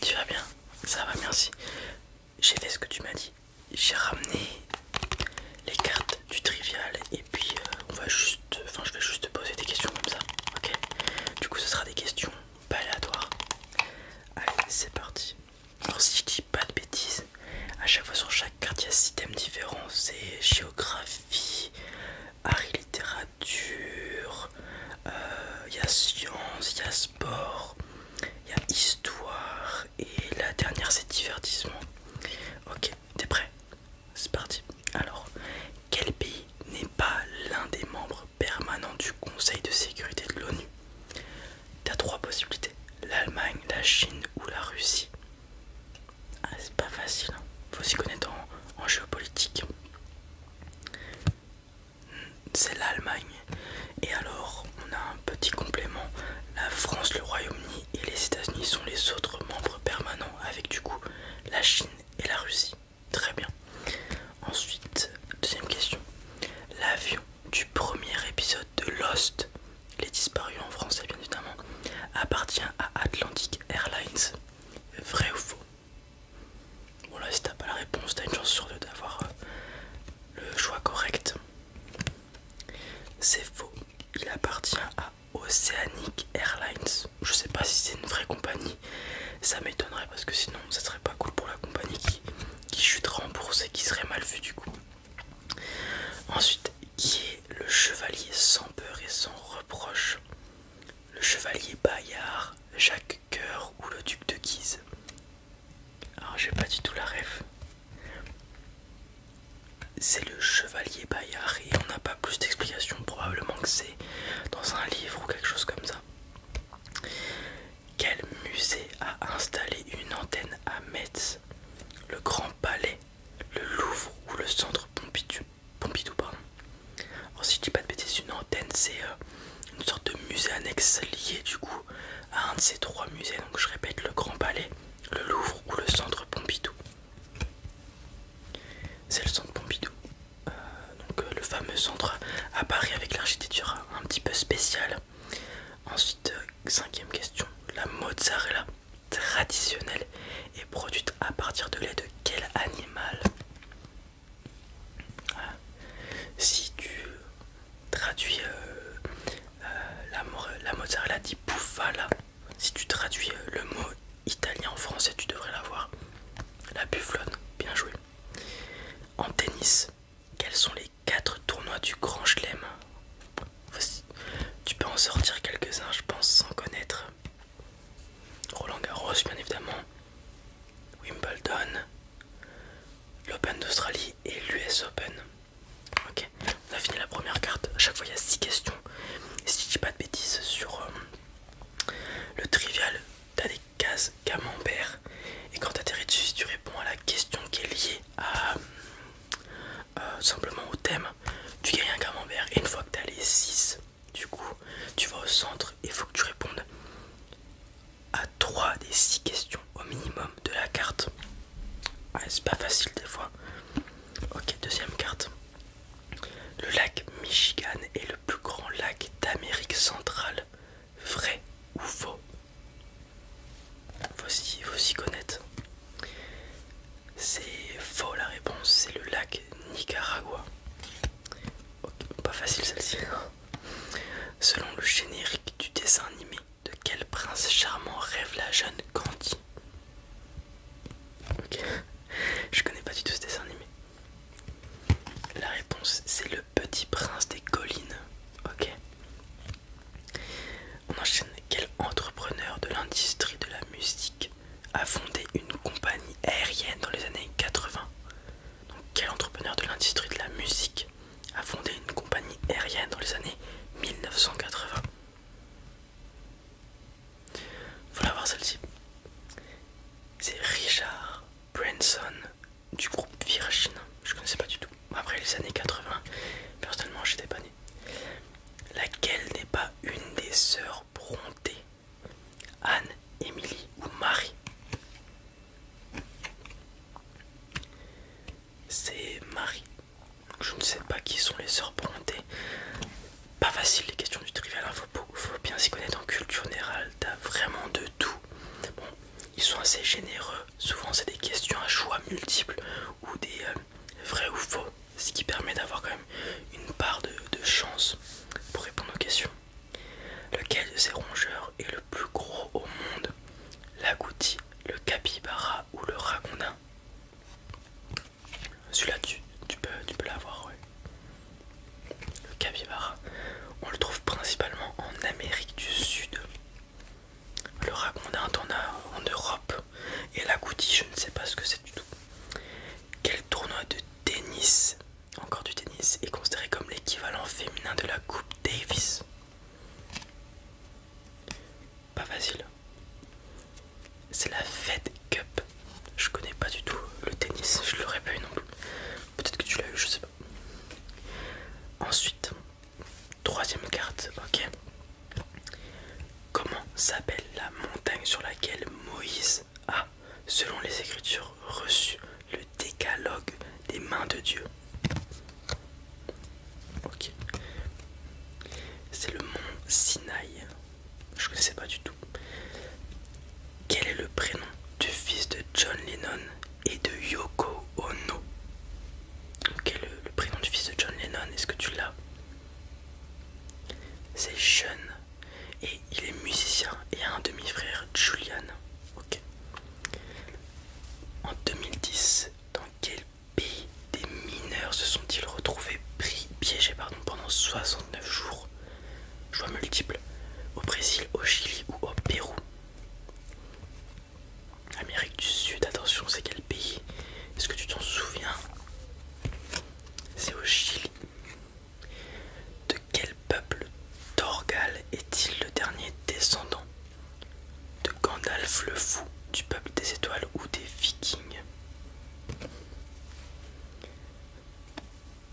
Tu vas bien Ça va, bien aussi. J'ai fait ce que tu m'as dit. J'ai ramené les cartes du trivial et puis euh, on va juste, enfin je vais juste poser des questions comme ça, ok Du coup, ce sera des questions aléatoires. Allez, c'est parti. Alors si je dis pas de bêtises, à chaque fois sur chaque carte il y a six thèmes différents. C'est géographie, art littérature il euh, y a science, il y a sport, il y a histoire et la dernière c'est divertissement. Ok, t'es prêt C'est parti. Alors, quel pays n'est pas l'un des membres permanents du Conseil de sécurité de l'ONU T'as trois possibilités l'Allemagne, la Chine ou la Russie. Ah, c'est pas facile, hein. faut s'y connaître en géopolitique c'est l'Allemagne. Et alors, on a un petit complément. La France, le Royaume-Uni et les États-Unis sont les autres membres permanents, avec du coup la Chine et la Russie. Très bien. Ensuite, deuxième question. L'avion du premier épisode de Lost, les disparu en français bien évidemment, appartient à Atlantic Airlines. Vrai ou faux Bon là si t'as pas la réponse, t'as une chance sur deux d'avoir euh, le choix correct. C'est faux. Il appartient à Oceanic Airlines. Je sais pas si c'est une vraie compagnie. Ça m'étonnerait parce que sinon, ça serait pas cool pour la compagnie qui, chute remboursée, qui serait mal vue du coup. Ensuite, qui est le chevalier sans peur et sans reproche le chevalier Bayard, Jacques Coeur ou le duc de Guise. Alors j'ai pas du tout la ref. C'est le chevalier Bayard et on n'a pas plus d'explications, probablement que c'est dans un livre ou quelque chose comme ça. Quel musée a installé une antenne à Metz Le Grand Palais, le Louvre ou le Centre Pompidou Pompidou, pardon. Alors, oh, si je dis pas de bêtises, une antenne, c'est euh, une sorte de musée annexe lié du coup à un de ces trois musées. Donc, je répète le Grand Palais, le Louvre ou le Centre Pompidou. C'est le Centre Pompidou, euh, donc euh, le fameux centre à Paris avec l'architecture un petit peu spéciale. Ensuite, cinquième question la mozzarella traditionnelle est produite à partir de lait de quel animal si tu traduis euh, euh, la, mozzarella dit bufala, si tu traduis euh, le mot italien en français, tu devrais l'avoir. La buflone, bien joué. En tennis, quels sont les quatre tournois du Grand Chelem Tu peux en sortir quelques-uns, je pense, sans connaître. Roland Garros, bien évidemment, Wimbledon, l'Open d'Australie et l'US Open. Ok, on a fini la première carte. chaque fois, il y a 6 questions. Et si je dis pas de bêtises sur euh, le trivial, t'as des cases camembert. Et quand t'atterris dessus, tu réponds à la question qui est liée à euh, simplement au thème, tu gagnes un camembert. Et une fois que t'as les 6, du coup, tu vas au centre et il faut que tu répondes à 3 des 6 questions au minimum de la carte. Ouais, c'est pas facile des fois. Ok, deuxième carte. Le lac Michigan est le plus grand lac d'Amérique centrale. Vrai ou faux Faut s'y connaître. C'est faux la réponse, c'est le lac Nicaragua. pas facile celle-ci. Selon le générique du dessin animé, de quel prince charmant rêve la jeune Candy Ok, je connais pas du tout ce dessin animé. La réponse c'est le petit prince des collines. Ok. On enchaîne. Quel entrepreneur de l'industrie de la musique a fondé une compagnie aérienne dans les années 80. Donc quel entrepreneur de l'industrie de la musique a fondé une compagnie aérienne dans les années 1980 la voir celle-ci. C'est Richard Branson du groupe Virgin. Je connaissais pas du tout. Après les années 80, personnellement j'étais pas né. Laquelle n'est pas une des sœurs Bronté Anne, Émilie ou Marie C'est Marie. Je ne sais pas qui sont les sœurs Bronté. Pas facile les questions du trivial, il faut, bien s'y connaître en culture générale, t'as vraiment de tout. Bon, ils sont assez généreux, souvent c'est des questions à choix multiples ou des euh, vrais ou faux ce qui permet d'avoir quand même une part de, chance pour répondre aux questions. Lequel de ces rongeurs est le plus gros au monde L'agouti, le capybara ou le ragondin Celui-là, tu, peux, tu peux l'avoir, Le capybara, on le trouve principalement en Amérique du Sud. Le ragondin, t'en as en Europe, et la Goody, je ne sais pas ce que c'est du tout. Quel tournoi de tennis, encore du tennis, est considéré comme l'équivalent féminin de la Coupe Davis Pas facile. C'est la Fed Cup. Je connais pas du tout le tennis, je l'aurais pas eu non plus. Peut-être que tu l'as eu, je sais pas. Ensuite, Troisième carte, ok. Comment s'appelle la montagne sur laquelle Moïse a, selon les Écritures, reçu le décalogue des mains de Dieu Ok. C'est le mont Sinaï. Je ne connaissais pas du tout. Quel est le prénom du fils de John Lennon et de Yoko Ono Quel le prénom du fils de John Lennon, est-ce que tu l'as c'est jeune et il est musicien et a un demi-frère, Julian. En 2010, dans quel pays des mineurs se sont-ils retrouvés pris, piégés pendant 69 jours Choix multiple. au Brésil, au Chili ou au Pérou Amérique du Sud, attention, c'est quel pays Est-ce que tu t'en souviens C'est au Chili. De quel peuple d'orgal est-il le dernier descendant De Gandalf le Fou, du peuple des étoiles ou des vikings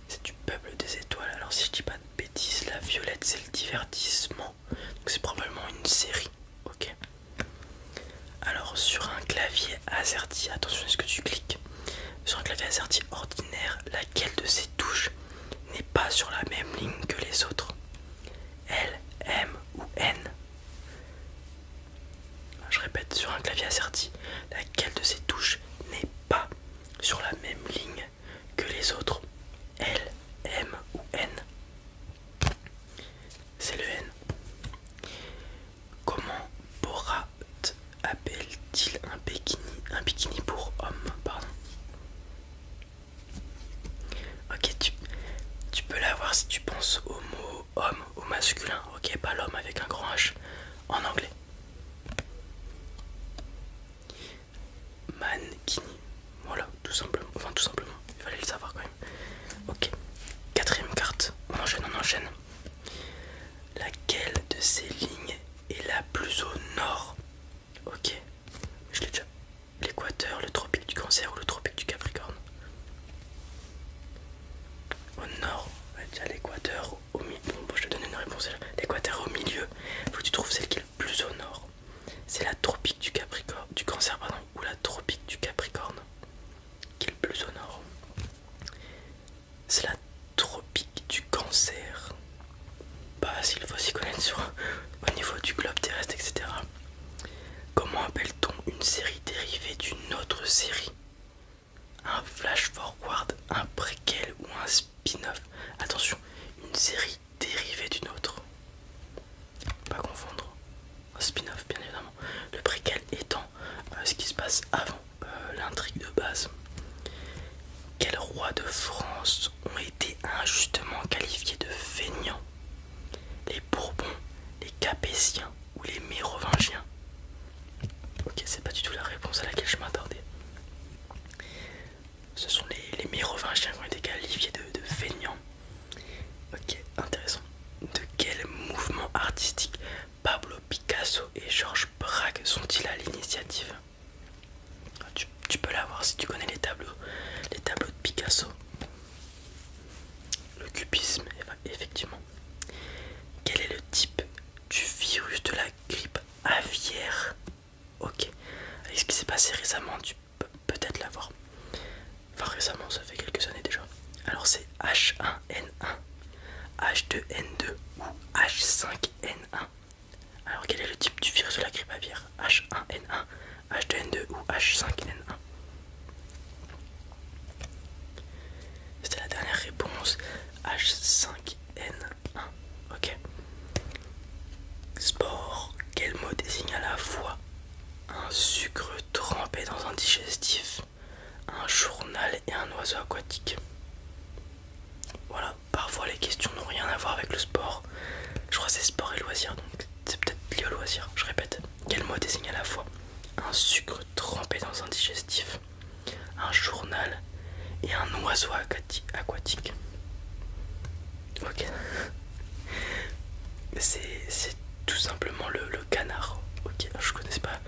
C'est du peuple des étoiles, alors si je dis pas de bêtises, la violette c'est le divertissement, donc c'est probablement une série, ok alors sur un clavier AZERTY, attention à ce que tu cliques, sur un clavier asserti ordinaire, laquelle de ces touches n'est pas sur la même ligne que les autres L, M ou N Je répète, sur un clavier AZERTY, laquelle de ces touches n'est pas sur la même ligne que les autres L, M ou N c'est le N. Comment Borat appelle-t-il un bikini, un bikini pour homme Pardon. Ok, tu, tu peux l'avoir si tu penses au mot homme, au masculin, ok, pas l'homme avec un grand H en anglais. Mankini. Voilà, tout simplement. Enfin, tout simplement. Il fallait le savoir quand même. Ok. Quatrième carte. On enchaîne, on enchaîne. Laquelle de ces lignes est la plus au nord Ok. Je l'ai déjà. L'équateur, le tropique du cancer ou le tropique du capricorne Au nord. Déjà l'équateur au milieu. Bon, je te donne une réponse. L'équateur au milieu. Faut que tu trouves celle qui plus au nord, c'est la tropique du, Capricorne, du Cancer pardon, ou la tropique du Capricorne qui est le plus au nord. C'est la tropique du Cancer. Bah, s'il faut s'y connaître sur, au niveau du globe terrestre, etc. Comment appelle-t-on une série dérivée d'une autre série Un flash forward, un préquel ou un spin-off Attention, une série dérivée d'une autre. Pas confondre un spin-off bien évidemment. Le préquel étant euh, ce qui se passe avant euh, l'intrigue de base. Quels rois de France ont été injustement qualifiés de feignants Les Bourbons, les Capétiens ou les Mérovingiens Ok, c'est pas du tout la réponse à laquelle je m'attendais. Ce sont les, mérovingiens qui ont été qualifiés de, de Ok, intéressant. De quel mouvement artistique Pablo Picasso et Georges Braque sont-ils à l'initiative ah, tu, peux la voir si tu connais les tableaux, les tableaux de Picasso. Le cubisme, effectivement. Quel est le type du virus de la grippe aviaire Ok. Avec ce qui s'est passé récemment, peut-être l'avoir. Enfin récemment, ça fait quelques années déjà. Alors c'est H1N1, H2N2 ou H5N1. Alors quel est le type du virus de la grippe aviaire H1N1, H2N2 ou H5N1 C'était la dernière réponse H5N1. Sport. Quel mot désigne à la fois un sucre trempé dans un digestif, un journal et un oiseau aquatique Voilà, parfois les questions n'ont rien à voir avec le sport. Je crois que c'est sport et loisir, donc c'est peut-être lié au loisir. Je répète. Quel mot désigne à la fois un sucre trempé dans un digestif, un journal et un oiseau aquatique Ok. C'est tout simplement le, canard. Ok, je connais pas.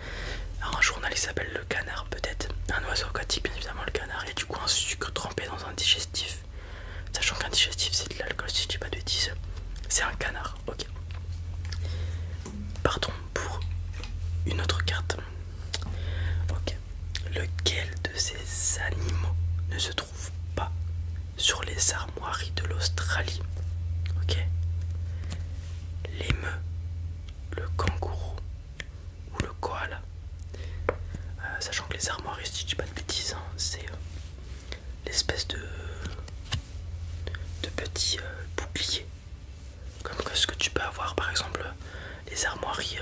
Alors, un journal s'appelle le canard, peut-être. Un oiseau aquatique, bien évidemment, le canard. Et du coup, un sucre trempé dans un digestif. Sachant qu'un digestif, c'est de l'alcool, si je dis pas de bêtises. C'est un canard, ok. Partons pour une autre carte. Ok. Lequel de ces animaux ne se trouve pas sur les armoiries de l'Australie Ok. L'émeu, le kangourou ou le koala euh, Sachant que les armoiries, si je dis pas de bêtises, hein, c'est euh, l'espèce de, de petit euh, bouclier. Comme ce que tu peux avoir par exemple les armoiries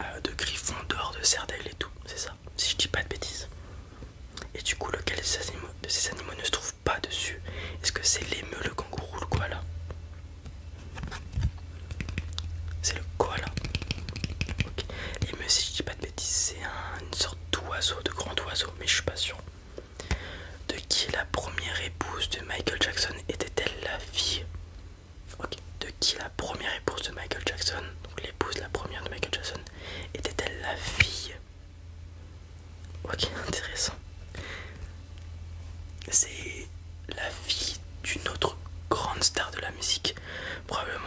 euh, de griffons d'or, de cerdail et tout, c'est ça, si je dis pas de bêtises. Et du coup, lequel de ces animaux, ne se trouve pas dessus Est-ce que c'est l'émeu, le kangourou, le koala C'est le koala. ok L'émeu, si je dis pas de bêtises, c'est une sorte d'oiseau, de grand oiseau, mais je suis pas sûr. De qui la première épouse de Michael Jackson était-elle la fille de qui la première épouse de Michael Jackson, l'épouse la première de Michael Jackson, était-elle la fille Ok, intéressant. C'est la fille d'une autre grande star de la musique, probablement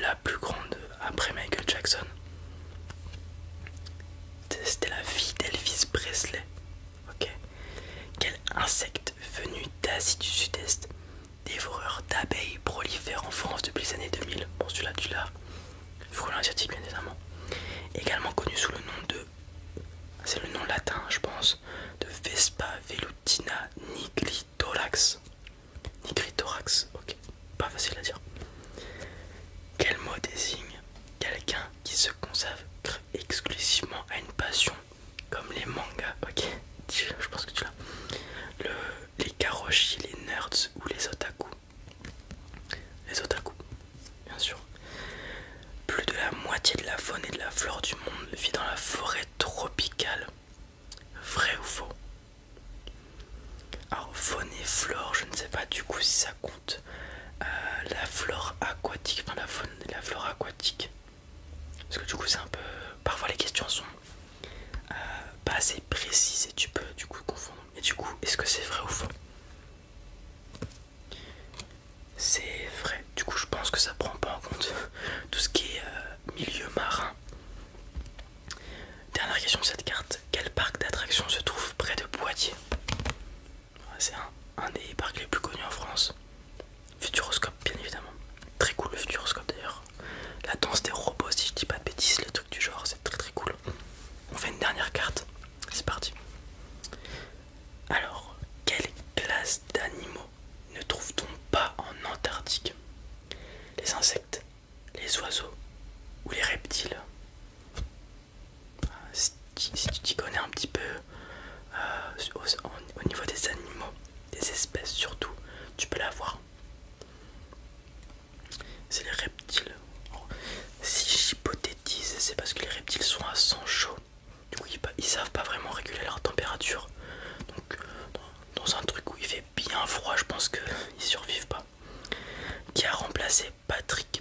la plus grande après Michael Jackson. C'était la fille d'Elvis Presley. Ok. Quel insecte venu d'Asie du Sud-Est, dévoreur d'abeilles, prolifère en France depuis les années 2000 Bon, celui-là, tu l'as. asiatique, bien évidemment. Également connu sous le nom de. C'est le nom latin, je pense. De Vespa velutina nigritorax. Nigritorax, ok. Pas facile à dire. Quel mot désigne quelqu'un qui se conserve exclusivement à une passion comme les mangas, ok Je pense que tu l'as. les karoshi, les nerds ou les otaku. Les otaku, bien sûr. Plus de la moitié de la faune et de la flore du monde vit dans la forêt tropicale. Vrai ou faux Alors faune et flore, je ne sais pas du coup si ça compte euh, la flore aquatique, enfin la faune la flore aquatique. Parce que du coup c'est un peu... Parfois les questions sont euh, pas assez précises et tu peux du coup confondre. Et du coup, est-ce que c'est vrai ou faux C'est vrai. Du coup je pense que ça prend pas en compte tout ce qui est euh, milieu marin. Dernière question de cette carte. Quel parc d'attractions se trouve près de Poitiers c'est un, des parcs les plus connus en France. Futuroscope, bien évidemment. Très cool le Futuroscope d'ailleurs. La danse des robots, si je dis pas de bêtises, le truc du genre, c'est très très cool. On fait une dernière carte. C'est parti. Alors, quelle classe d'animaux ne trouve-t-on pas en Antarctique Les insectes, les oiseaux ou les reptiles si, tu t'y connais un petit peu euh, au, niveau des animaux, des espèces surtout, tu peux la voir. C'est les reptiles. Si j'hypothétise, c'est parce que les reptiles sont à sang chaud. Du coup, ils, savent pas vraiment réguler leur température. Donc, dans, un truc où il fait bien froid, je pense qu'ils survivent pas. Qui a remplacé Patrick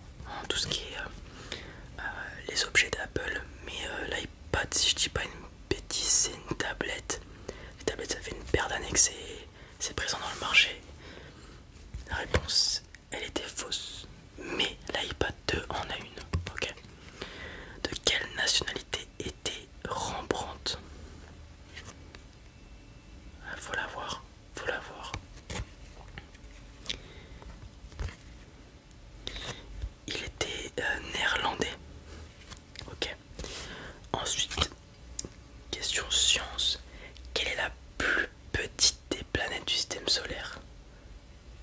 tout ce qui est euh, euh, les objets d'Apple. Mais euh, l'iPad, si je dis pas une bêtise, c'est une tablette. Les tablettes, ça fait une paire d'années c'est présent dans le marché. La réponse, elle était fausse. Mais l'iPad 2 en a une. Ok. De quelle nationalité était Rembrandt faut la voir, faut la voir, Il était euh, néerlandais. Ok. Ensuite, question science. Quelle est la plus petite des planètes du système solaire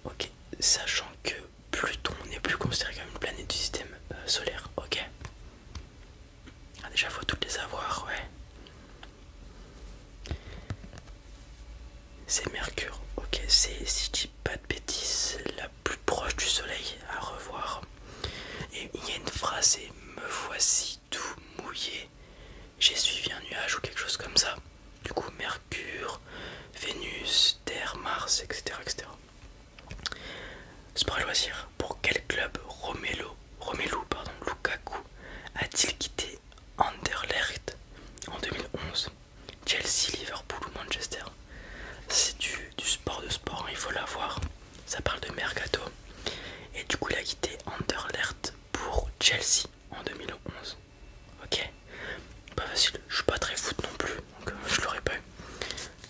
Ok. Sachant que Pluton n'est plus considéré comme une planète du système euh, solaire. Ok. Ah, déjà, faut toutes les avoir, ouais. C'est Mercure, ok, c'est si je dis pas de bêtises, la plus proche du soleil à revoir. Et il y a une phrase, c'est me voici tout mouillé, j'ai suivi un nuage ou quelque chose comme ça. Du coup, Mercure, Vénus, Terre, Mars, etc. etc. Sport et Pour quel club Romelu, pardon, Lukaku a-t-il quitté Anderlecht en 2011 Chelsea, Liverpool ou Manchester C'est du, sport de sport, hein, il faut l'avoir. Ça parle de mercato. Et du coup, il a quitté Anderlecht pour Chelsea en 2011. Ok Pas facile, je suis pas très foot non plus, donc euh, je l'aurais pas eu.